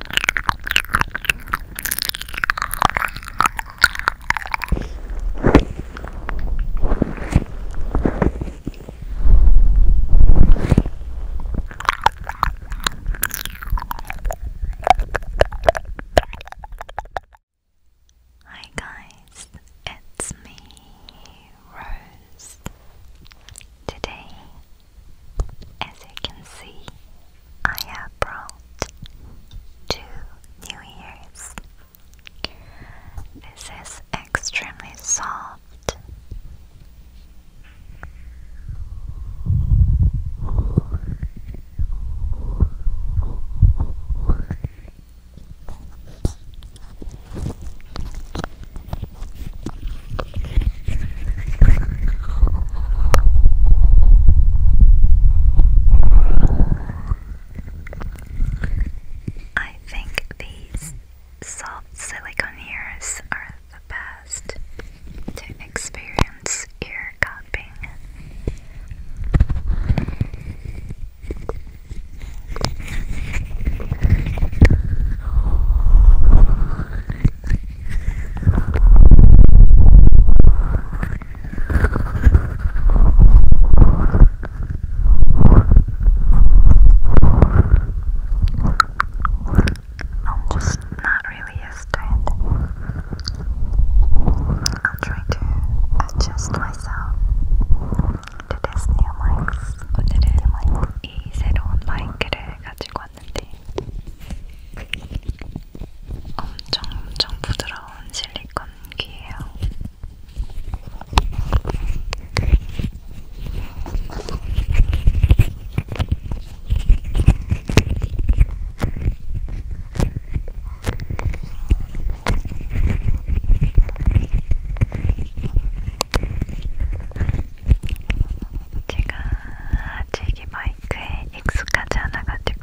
Hi guys, it's me, Rose. Today as you can see, I have brought two New Year's. This is extremely soft. I think these soft silicone ears are the best to experience ear cupping. I'm just not really a to I'm trying to adjust myself to this new mics. 오늘은 이 새로운 마이크를 가지고 왔는데 엄청 엄청 부드러운 실리콘 귀예요. 제가 아직 이 마이크에 익숙하지 않아가지고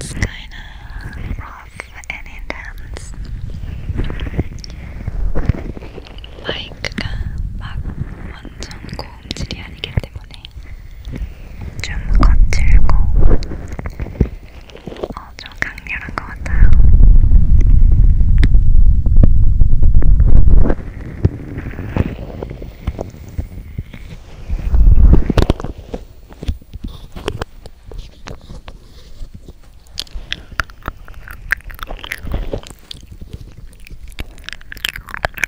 It's kind of rough and intense. Like, 막 완전 고 음질이 아니기 때문에 좀 거칠고 어, 좀 강렬한 것 같아요.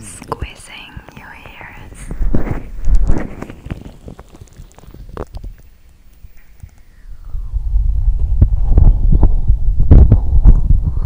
Squeezing your ears.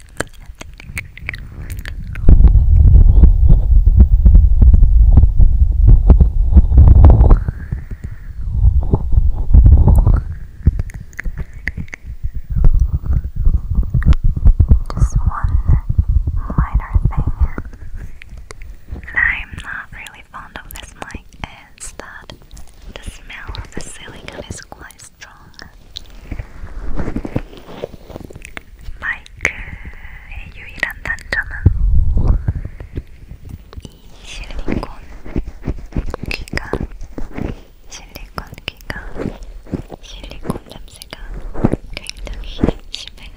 Just one minor thing that I'm not really fond of this mic is that the smell of the silicone is quite strong 마이크의 유일한 단점은 이 실리콘 귀가 실리콘 귀가 실리콘 냄새가 굉장히 심해요.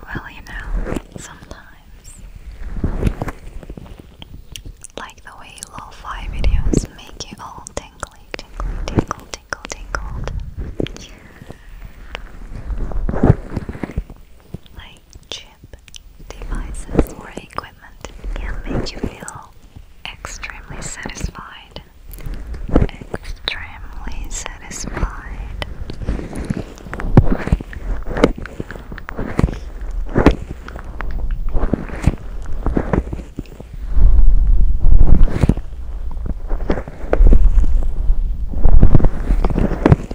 Well, you know, sometimes, like the way lo fi videos make you all tingly, tingly, tingle, tingle, tingled chip devices or equipment can make you feel extremely satisfied. Extremely satisfied.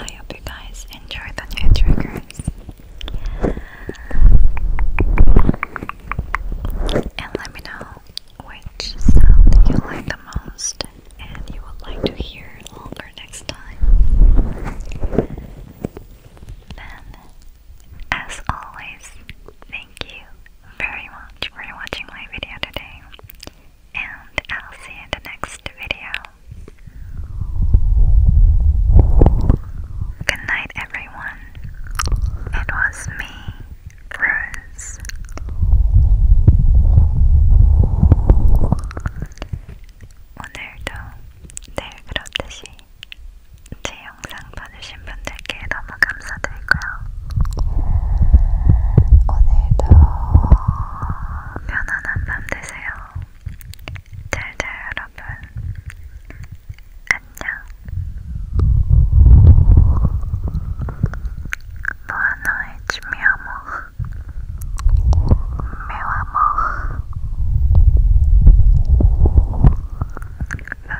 I hope you guys enjoy the new triggers. And let me know which sound you like the most and you would like to hear longer next time. Then, as always, thank you very much for watching my video today. And I'll see you in the next video. Good night, everyone. It was me, Rose. 오늘도 내일 그렇듯이 제 영상 봐주신 분들께 너무 감사드리고요. 오늘도 편안한 밤 되세요. 잘자 여러분 안녕 Boa noite meu amor Meu amor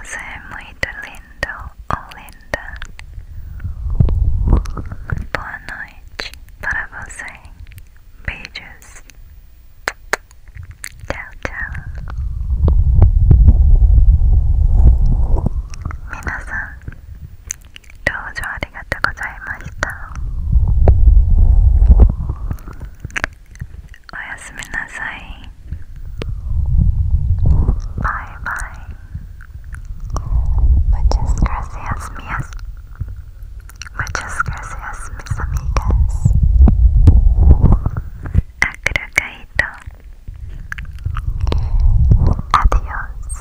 Você é muito lindo ou linda Boa noite para você pages. Ciao, ciao. Minasan, doujou arigatou gozaimashita. Oyasumi nasai. Bye bye. Muchas gracias, mias. Muchas gracias, mis amigas. Acrocaíto. Adiós.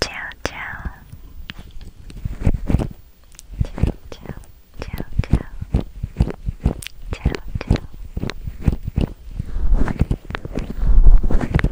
Chao, chao. Chao, chao, chao, chao.